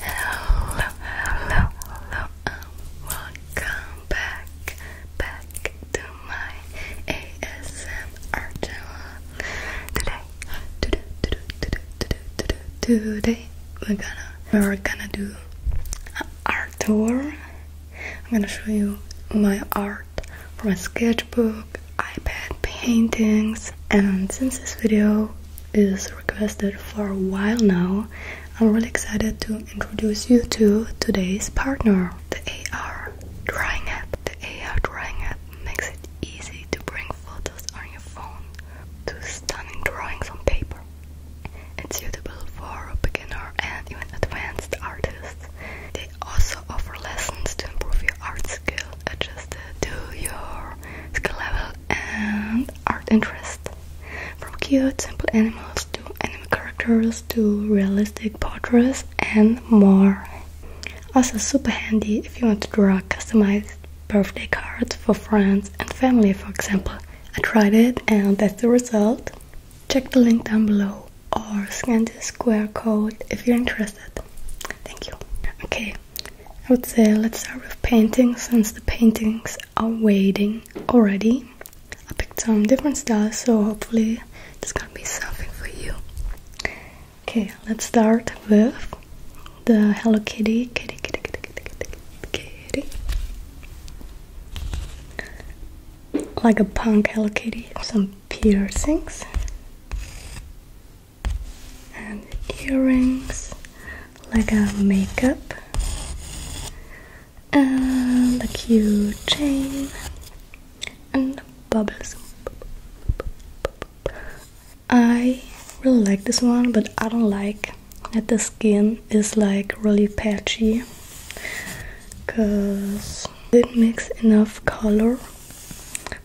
Hello, hello, hello, welcome back, back to my ASMR channel. Today, today, we're gonna we're gonna do an art tour. I'm gonna show you my art from a sketchbook, iPad paintings, and since this video is requested for a while now, I'm really excited to introduce you to today's partner, the AR Drawing App. The AR Drawing App makes it easy to bring photos on your phone to stunning drawings on paper. It's suitable for beginner and even advanced artists. They also offer lessons to improve your art skill adjusted to your skill level, and art interest. From cute, simple animals to anime characters to realistic portraits and more. Also super handy if you want to draw customized birthday cards for friends and family for example. I tried it and that's the result. Check the link down below or scan the square code if you're interested. Thank you. Okay, I would say let's start with paintings since the paintings are waiting already. I picked some different styles, so hopefully there's gonna be something for you. Okay, let's start with the Hello Kitty, kitty, kitty, kitty, kitty, kitty, kitty. Like a punk Hello Kitty, some piercings and earrings like a makeup and a cute chain and bubbles I really like this one but I don't like that the skin is like really patchy because it not mix enough color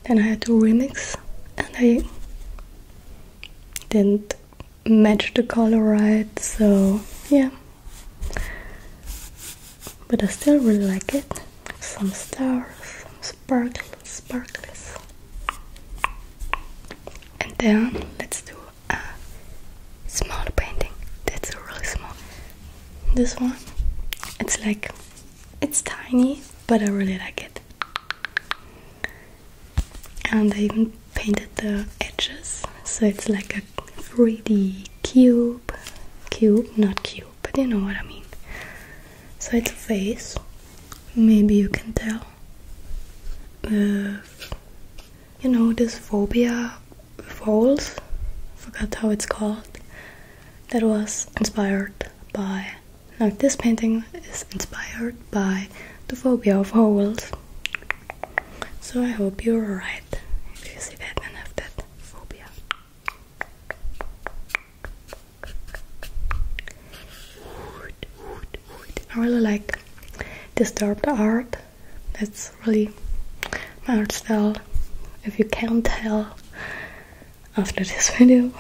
then I had to remix and I didn't match the color right, so yeah. But I still really like it. Some stars, some sparkles, sparkles. And then let's do a small painting. That's really small. This one, it's like it's tiny, but I really like it and I even painted the edges so it's like a 3D cube cube not cube but you know what I mean so it's a face maybe you can tell uh, you know this phobia falls forgot how it's called that was inspired by now this painting is inspired by the phobia of holes. So I hope you're alright if you see that and have that phobia. I really like disturbed art. That's really my art style. If you can't tell after this video.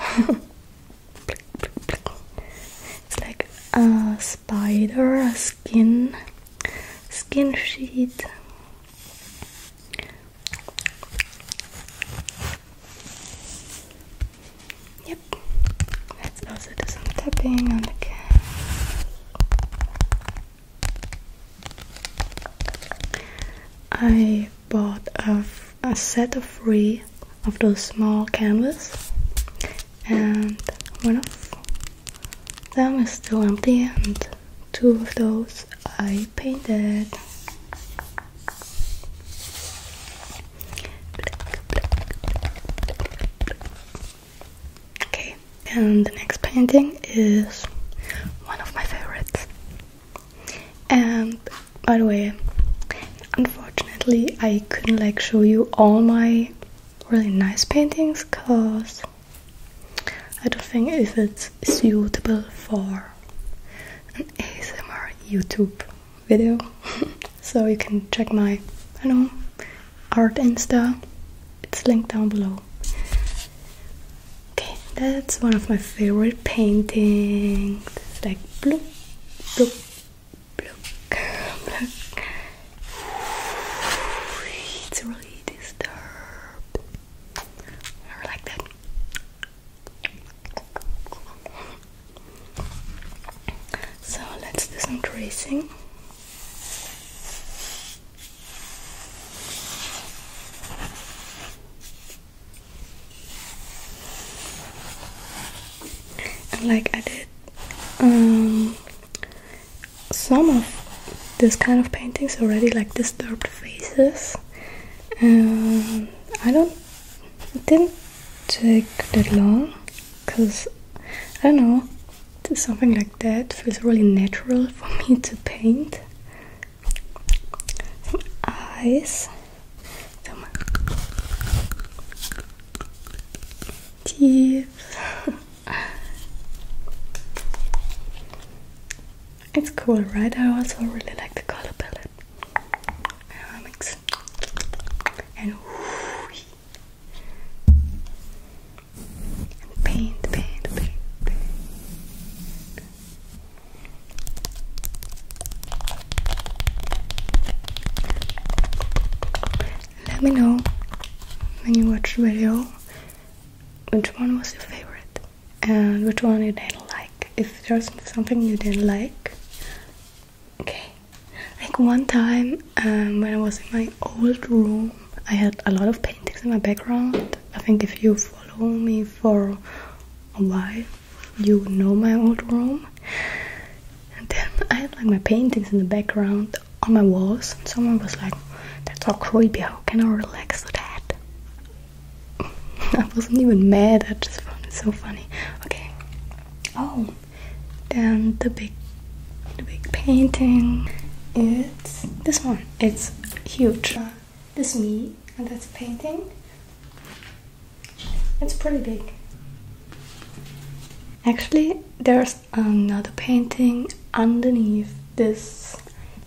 It's like a spider, skin, skin sheet. Yep, let's also do some tapping on the cat. I I bought a, a set of three of those small canvas and one of them is still empty and two of those I painted okay and the next painting is one of my favorites and by the way unfortunately i couldn't like show you all my really nice paintings because i don't think if it's suitable for an asmr youtube video so you can check my i know art insta it's linked down below okay that's one of my favorite painting. It's like bloop, bloop, bloop, bloop. It's really disturbed. Or like that. So let's do some tracing like I did um, some of this kind of paintings already like disturbed faces and I don't didn't take that long because I don't know something like that feels really natural for me to paint some eyes, teeth. it's cool, right? I also really like the color palette. and whoosh. And paint, paint, paint, paint. Let me know when you watch the video which one was your favorite and which one you didn't like. If there's something you didn't like, okay. Like one time um, when I was in my old room, I had a lot of paintings in my background. I think if you follow me for a while, you know my old room. And then I had like my paintings in the background on my walls, and someone was like, That's so creepy, how can I relax with that? I wasn't even mad, I just found it so funny. Okay. Oh, then the big the big painting it's this one. It's huge this me, and that's a painting. It's pretty big. Actually, there's another painting underneath this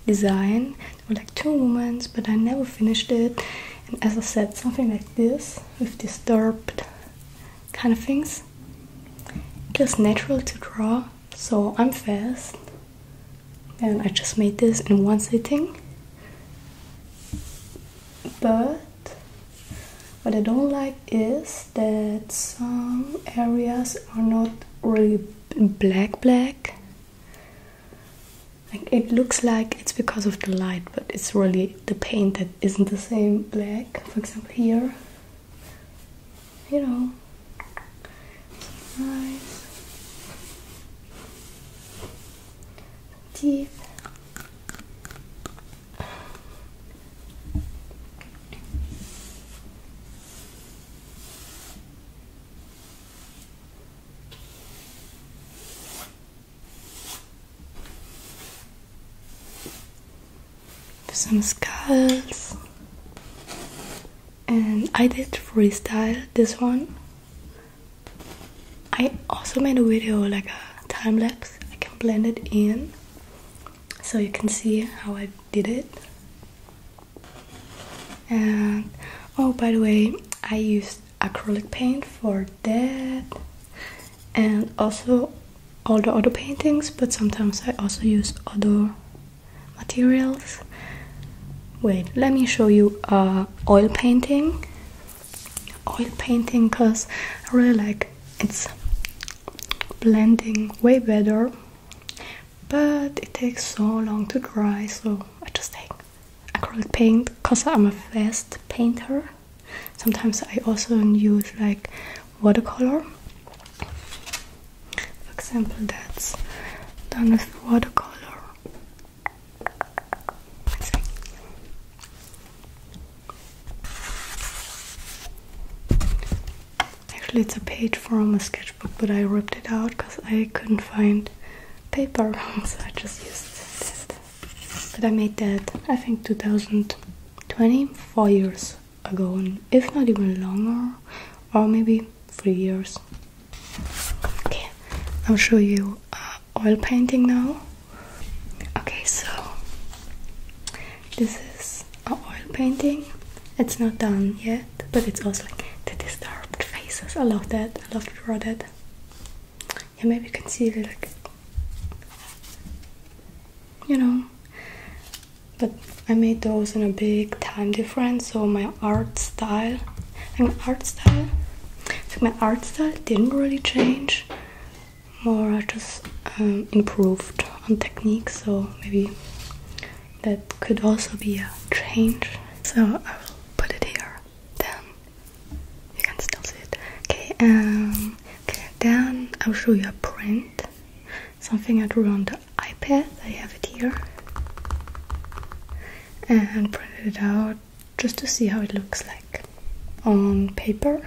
design. There were like two women, but I never finished it. And as I said, something like this with disturbed kind of things. It was natural to draw, so I'm fast and I just made this in one sitting. But what I don't like is that some areas are not really black black. Like it looks like it's because of the light, but it's really the paint that isn't the same black. For example, here, you know, eyes deep. Some skulls, and I did freestyle this one I also made a video like a time lapse. I can blend it in so you can see how I did it. And oh, by the way, I used acrylic paint for that and also all the other paintings, but sometimes I also use other materials wait let me show you oil painting oil painting because i really like it's blending way better but it takes so long to dry so i just take acrylic paint because i'm a fast painter sometimes i also use like watercolor for example that's done with watercolor Actually, it's a page from a sketchbook, but I ripped it out because I couldn't find paper, so I just used this. But I made that, I think, two thousand twenty four years ago, and if not even longer, or maybe three years Okay, I'll show you uh, oil painting now. Okay, so this is an oil painting. It's not done yet, but it's also like the disturbed faces. I love that. I love to draw that. Yeah, maybe you can see the you know. But I made those in a big time difference, so my art style my art style. I think my art style didn't really change, more I just um, improved on technique, so maybe that could also be a change. So I will put it here, then you can still see it. Okay, um, okay then I'll show you a print, something I drew on the iPad, I have it here and printed it out just to see how it looks like on paper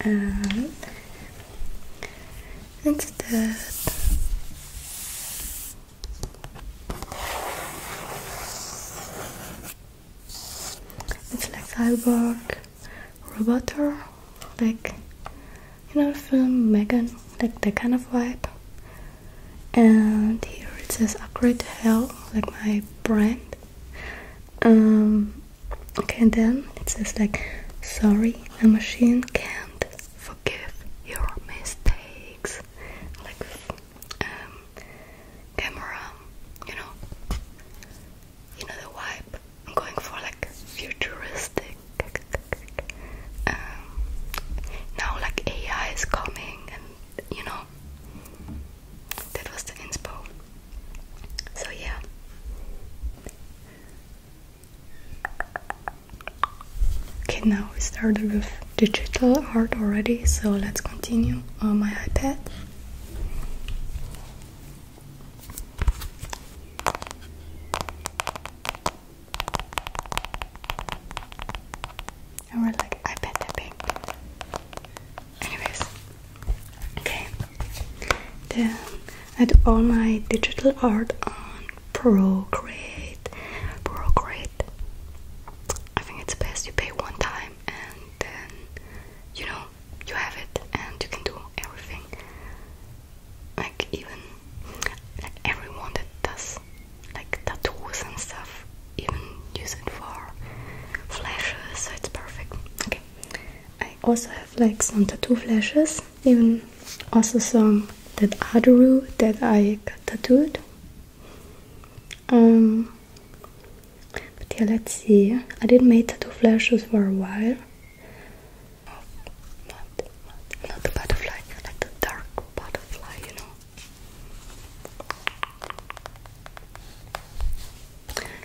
and instead it's like cyborg roboter like you know, film Megan, like that kind of vibe. And here it says Upgrade to Hell, like my brand. Um, okay, and then it says like, sorry, a machine can't forgive your mistakes. Like, um, camera, you know, you know the vibe. i going for like futuristic um, now, like AI is coming, and you know, that was the inspo. So yeah. Okay, now we started with digital art already, so let's continue on my iPad. And we're like, I bet they're Anyways, okay. Then I do all my digital art on Procreate. Procreate. I think it's best you pay one time and then you know you have it and you can do everything like even like everyone that does like tattoos and stuff even use it for flashes, so it's perfect. Okay. I also have like some tattoo flashes, even also some that I that I got tattooed. Um but yeah let's see. I did not make tattoo flashes for a while of mud, not the butterfly, like the dark butterfly, you know.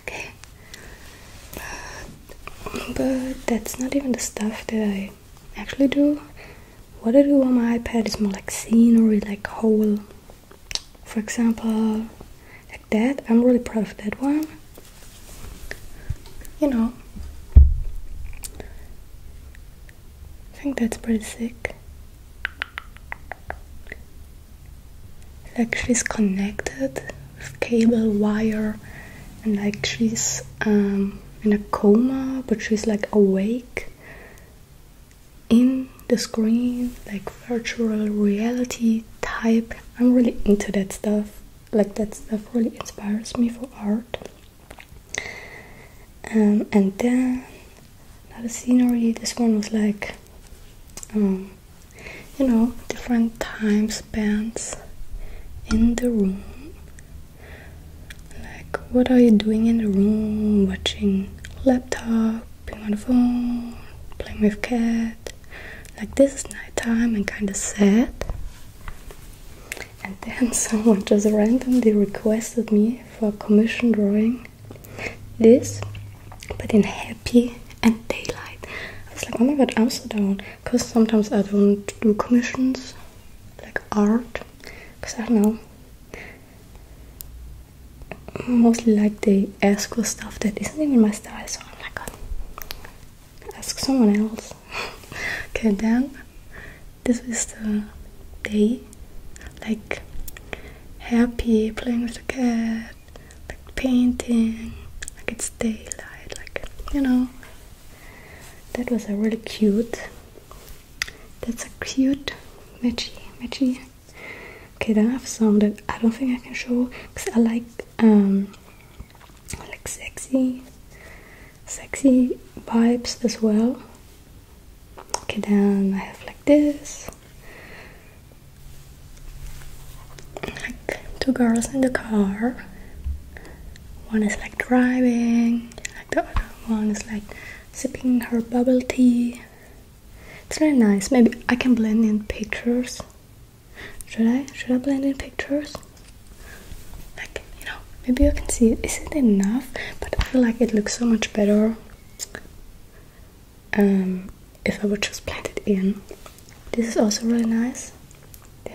Okay, uh, but that's not even the stuff that I actually do. What I do on my iPad is more like scenery, like whole. For example, like that. I'm really proud of that one. You know, I think that's pretty sick. Like she's connected with cable wire and like she's um, in a coma but she's like awake in the screen like virtual reality type i'm really into that stuff like that stuff really inspires me for art um, and then another scene already. This one was like, um, you know, different time spans in the room. Like, what are you doing in the room? Watching laptop, being on the phone, playing with cat. Like, this is nighttime and kind of sad. And then someone just randomly requested me for a commission drawing this, but in happy and daylight. I was like, oh my god, I'm so down. Because sometimes I don't do commissions, like art, because I don't know. Mostly like the ask stuff that isn't even my style, so I'm like, oh, ask someone else. okay, then this is the day, like happy playing with the cat, like painting, like it's daylight, like you know. That was a really cute. That's a cute matchy matchy. Okay, then I have some that I don't think I can show because I like um, like sexy sexy vibes as well okay then I have like this like two girls in the car one is like driving like the other one is like sipping her bubble tea it's really nice maybe I can blend in pictures should I? should I blend in pictures? like you know maybe I can see is it enough but i feel like it looks so much better um if i would just plant it in this is also really nice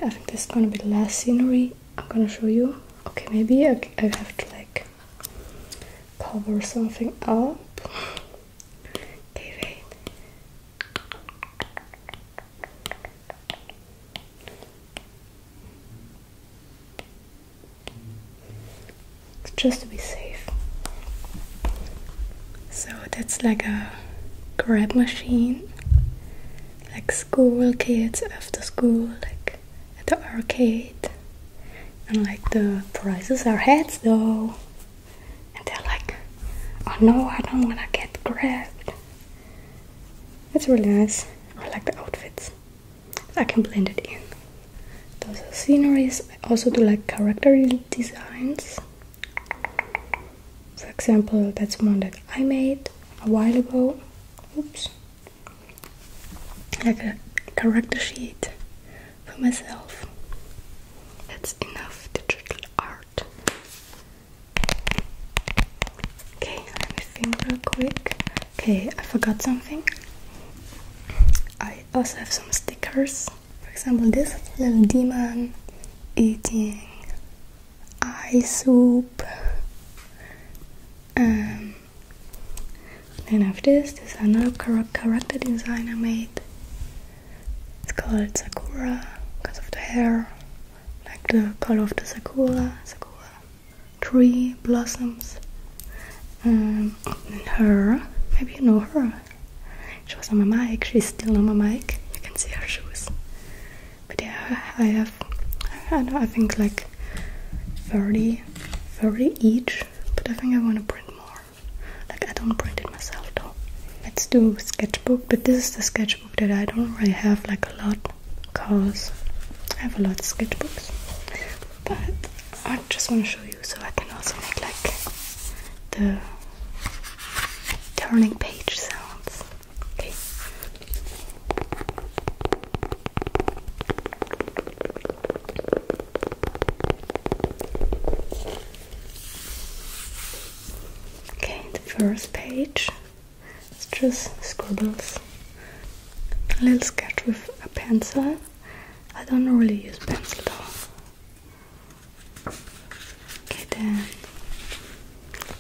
i think this is gonna be the last scenery i'm gonna show you okay maybe i, I have to like cover something up okay just to be safe. So that's like a grab machine, like school kids after school, like at the arcade. And like the prices are heads though. And they're like, oh no, I don't wanna get grabbed. It's really nice. I like the outfits. I can blend it in. Those are sceneries. I also do like character designs. For example, that's one that I made a while ago. Oops. Like a character sheet for myself. That's enough digital art. Okay, let me quick. Okay, I forgot something. I also have some stickers. For example, this little demon eating ice soup. And um, then I this. there's another character design I made. It's called Sakura because of the hair like the color of the sakura, sakura tree blossoms. Um, her, maybe you know her. She was on my mic. She's still on my mic. You can see her shoes. But yeah, I have. I know. I think like 30, 30 each. But I think I want to print more. Like I don't print it myself though. Let's do sketchbook. But this is the sketchbook that I don't really have like a lot because I have a lot of sketchbooks but I just want to show you so I can also make like the turning page sounds okay Okay, the first page it's just scribbles a little sketch with a pencil I don't really use pencil though okay then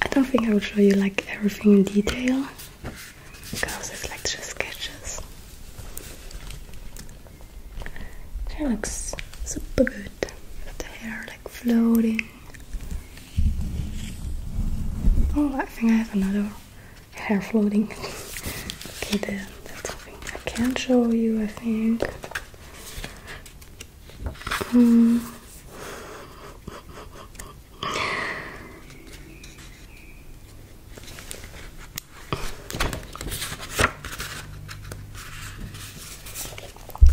I don't think I will show you like everything in detail because it's like just sketches it looks super good with the hair like floating Oh, I think I have another hair floating. okay, then that's something I can not show you. I think. Mm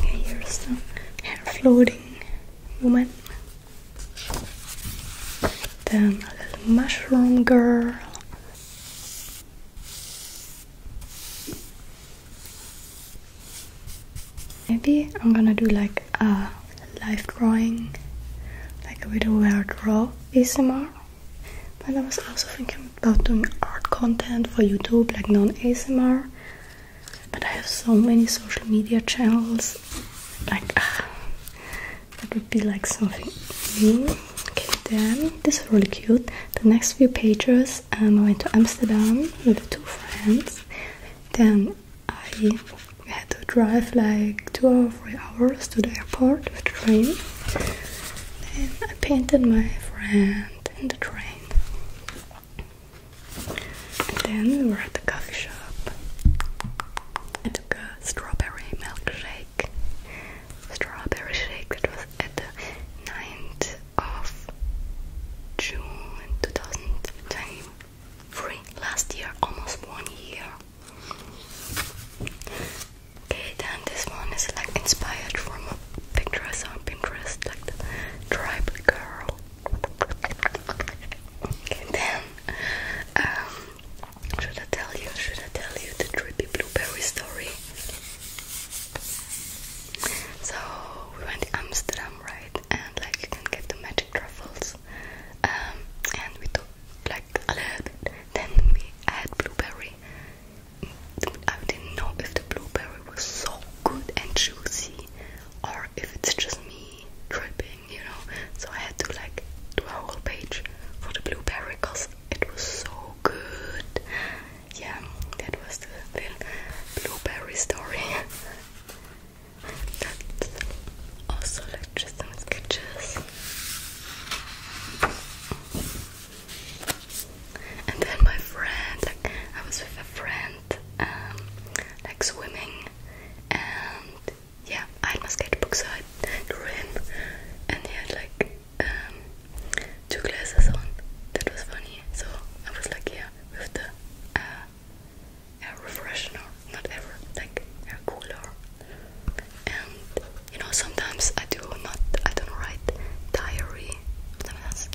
here's some hair floating woman. Then a little mushroom girl. Maybe I'm gonna do like a live drawing, like a video where I draw ASMR. But I was also thinking about doing art content for YouTube, like non ASMR. But I have so many social media channels. Like, ah, that would be like something new. Okay, then this is really cute. The next few pages, um, I went to Amsterdam with two friends. Then I had to drive like two or three hours to the airport with the train. Then I painted my friend in the train. And then we were at the coffee shop. I took a strawberry milkshake. Strawberry shake that was at the ninth of June 2023. Last year, almost one year. Okay, then this one is like inspired from Pinterest Pinterest, like girl. Okay, then, um, should I tell you, should I tell you the drippy blueberry story? So, we went Amsterdam, right? And like, you can get the magic truffles. Um, and we took like a little Then we had blueberry. I didn't know if the blueberry it was so good and juicy, or if it's just me tripping, you know. So I had to like do a whole page for the blueberry because it was so good. Yeah, that was the little blueberry story. That's also like just some sketches. And then my friend, I was with a friend and um, like swimming and yeah I had my sketchbook so I drew him and he had like um, two glasses on that was funny so I was like yeah with the uh, air refreshener not ever like air cooler and you know sometimes I do not I don't write diary sometimes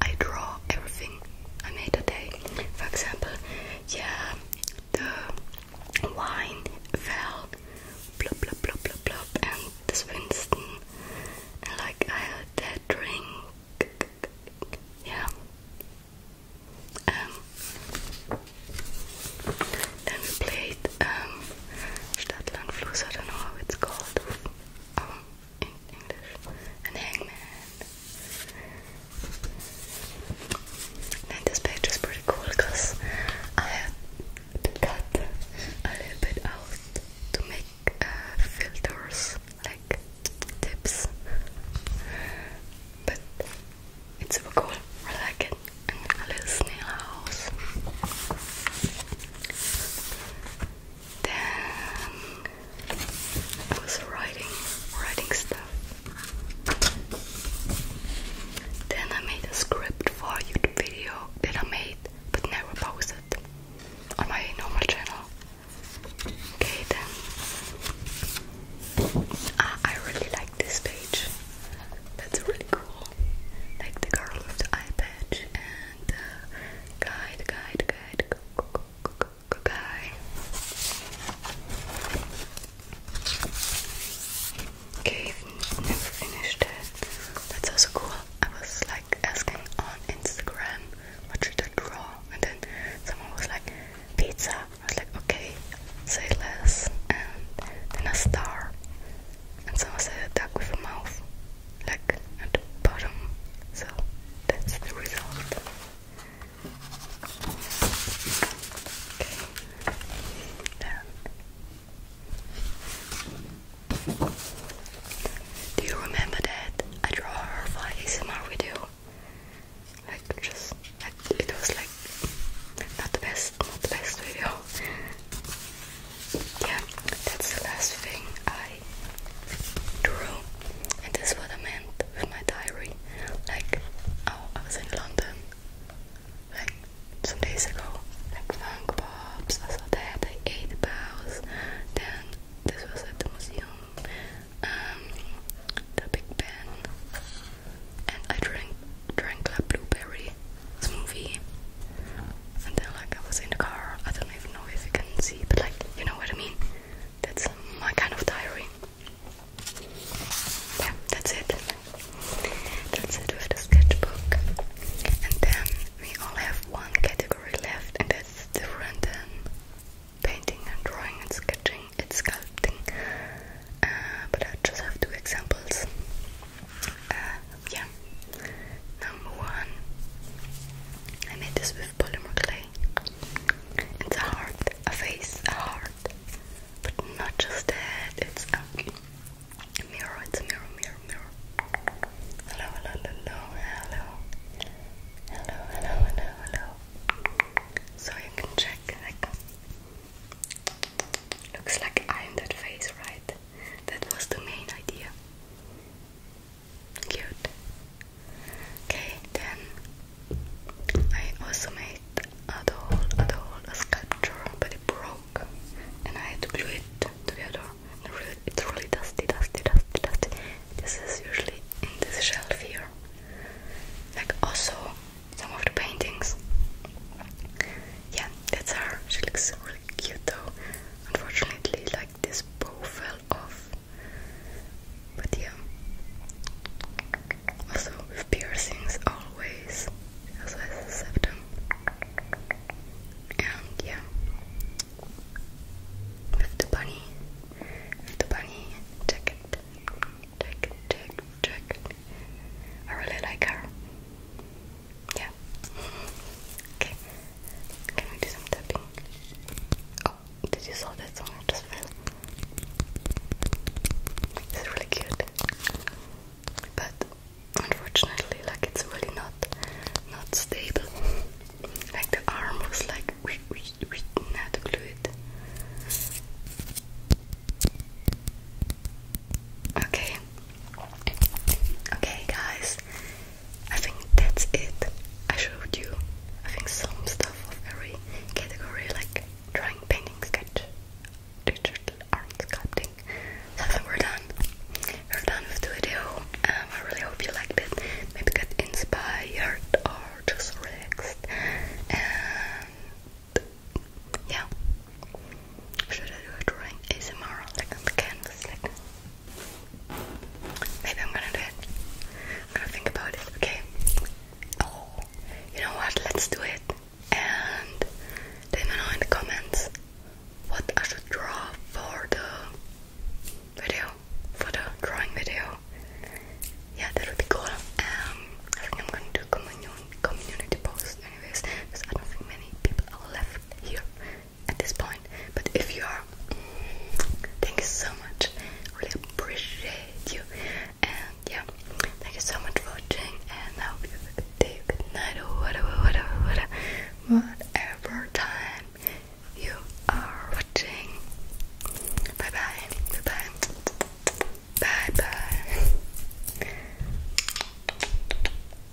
I draw everything I made a day. For example, yeah, the wine fell, blub blub blub blub blub, and this Winston, and like I had that drink, yeah. Um, we played um, Stadtland I don't know how it's called. Um, in English, and hangman. And this page is pretty cool because I had to cut a little bit out to make uh, filters, like tips. But it's super cool, I like it. a little snail house. Then I was writing, writing stuff. Then I made a script for a YouTube video that I made but never posted on my normal channel. Okay, then ah, I really like this page. That's really cool. Like the girl with the eye and uh, guide, guide, guide, Okay, never finished it. That's also cool. I was like asking on Instagram what should I draw, and then someone was like pizza. I was like, okay, say less, and then a star, and someone said a duck with a mouth like at the bottom. So that's the result. Okay. Then. Do you remember that I draw her for ASMR video? Like just like it was like not the best, not the best video yeah, that's the last thing I drew, and this is what I meant with my diary. Like, oh, I was in London, like some days ago. Like funk pops, I saw that. I the bows. Then this was at the museum. Um, the Big Ben, and I drank drank that blueberry smoothie and then like I was in the car. I don't even know if you can see, but like you know what I mean. That's my kind of diary. Yeah, that's it. That's it with the sketchbook. And then we all have one category left, and that's different than painting and drawing and sketching and sculpting. Uh, but I just have two examples. Uh, yeah. Number one, I made this with polymer clay. It's a heart, a face, a heart, but not just that. It's a mirror. It's mirror, mirror, mirror. Hello, hello, hello, hello, hello, hello, hello, hello. So you can check. looks like I'm that face, right? That was the main idea. Cute. Okay, then I also made a doll, a doll, a sculpture, but it broke, and I had to glue it together. And really, it's really dusty, dusty, dusty, dusty. This is usually in this shelf here. Like also some of the paintings. Yeah, that's her. She looks really cute though. Unfortunately, like this bow fell off. But yeah. Also with piercings always. Also as a septum. And yeah. With the bunny. With the bunny jacket. Jacket, jacket, jacket. I really like her. Yeah. Okay. Can we do some tapping? Oh, did you saw that song just found? It's really cute. But unfortunately like it's really not not stable. Like the arm was like we we we had to glue it. Okay, Okay, guys, I think that's it. I showed you, I think, some stuff of very category, like drawing, painting, sketch, digital art, sculpting. So I think we're done. We're done with the video. Um, I really hope you liked it. Maybe got inspired or just relaxed. And yeah, should I do a drawing ASMR like the canvas? maybe I'm gonna do it. I'm gonna think about it. Okay. Oh, you know what? Let's do it. And let me know in the comments what I should draw for the video, for the drawing video. Yeah, that would be cool. Um, I think I'm gonna do a commun community post anyways, because I don't think many people are left here at this point. But if you are, thank you so much. Really appreciate you. And yeah, thank you so much for watching. And I hope you have a good day, good night, whatever, whatever, whatever, whatever time you are watching. Bye bye. Bye bye. Bye bye.